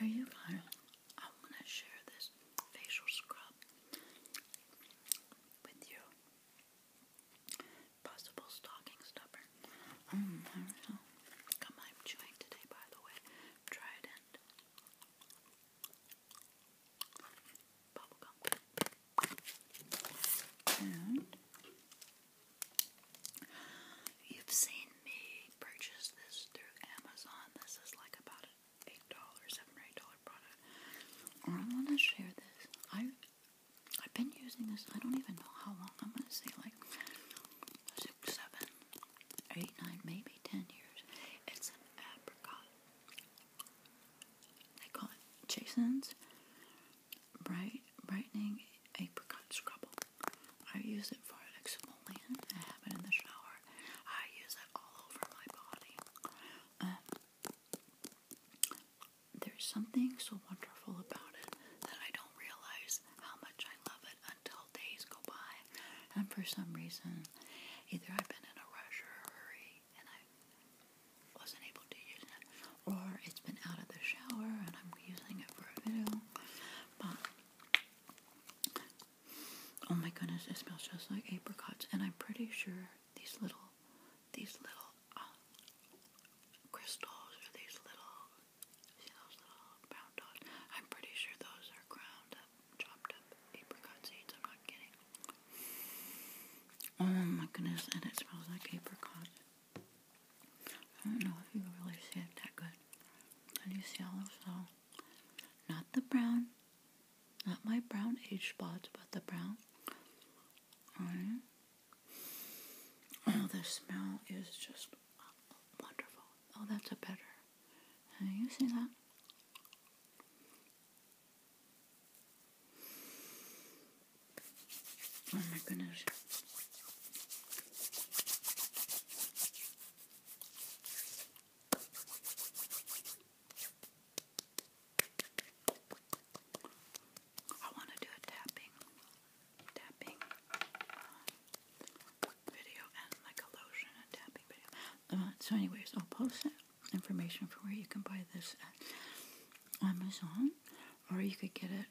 Are you guys? I want to share this facial scrub with you. Possible stocking stuffer. Mm, I Come I'm chewing today, by the way. Try it and bubblegum. And You've seen me purchase this through Amazon. This is like about eight dollar, seven eight dollar product. I wanna share this. I I've been using this I don't even know how long. I'm gonna say like six, seven, eight, nine, maybe ten years. It's an apricot. They call it Jason's bright brightening apricot scrubble. I use it for exfoliant. I have it in the shower. I use it all over my body. Um, there's something so wonderful about it that I don't realize how much I love it until days go by, and for some reason, either I've been in a rush or a hurry and I wasn't able to use it, or it's been out of the shower and I'm using it for a video. But oh my goodness, it smells just like apricots, and I'm pretty sure these little, these little uh, crystals or these little, see those little brown dots? I'm pretty sure those are ground up, chopped up apricot seeds. I'm not kidding. Oh my goodness, and it smells like apricot. I don't know if you can really see it that good. Do you see all those uh, not the brown, not my brown age spots, but the brown. Alright. Oh, the smell is just wonderful. Oh, that's a better. And you see that? Oh my goodness. I want to do a tapping, tapping um, video and like a lotion and tapping video. Uh, so, anyways, I'll post that information for where you can buy this at Amazon or you could get it.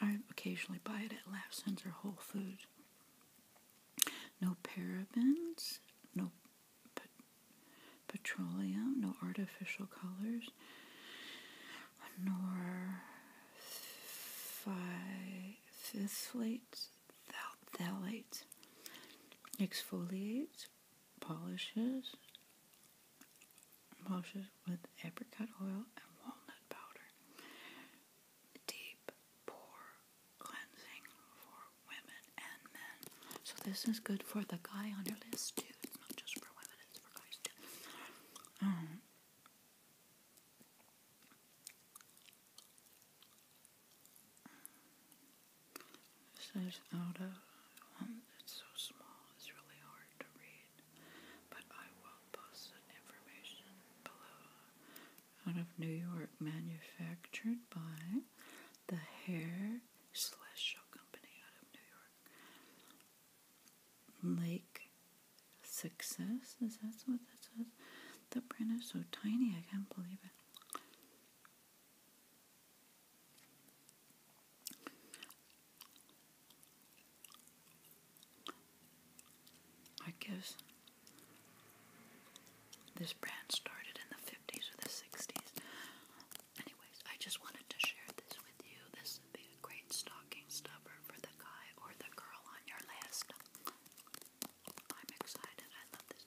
I occasionally buy it at Lapson's or Whole Foods. No parabens, no petroleum, no artificial colors, nor phthalates, phthalates, exfoliates, polishes polishes with apricot oil and walnut powder. Deep pore cleansing for women and men. So this is good for the guy on your list too. It's not just for women, it's for guys too. Um, this is out um, of one so small, it's really hard to read, but I will post that information below. Out of New York, manufactured by the Hair Celestial Company out of New York. Lake Success, is that what that says? The print is so tiny, I can't believe it. I guess This brand started in the 50s or the 60s. Anyways, I just wanted to share this with you. This would be a great stocking stuffer for the guy or the girl on your list. I'm excited. I love this.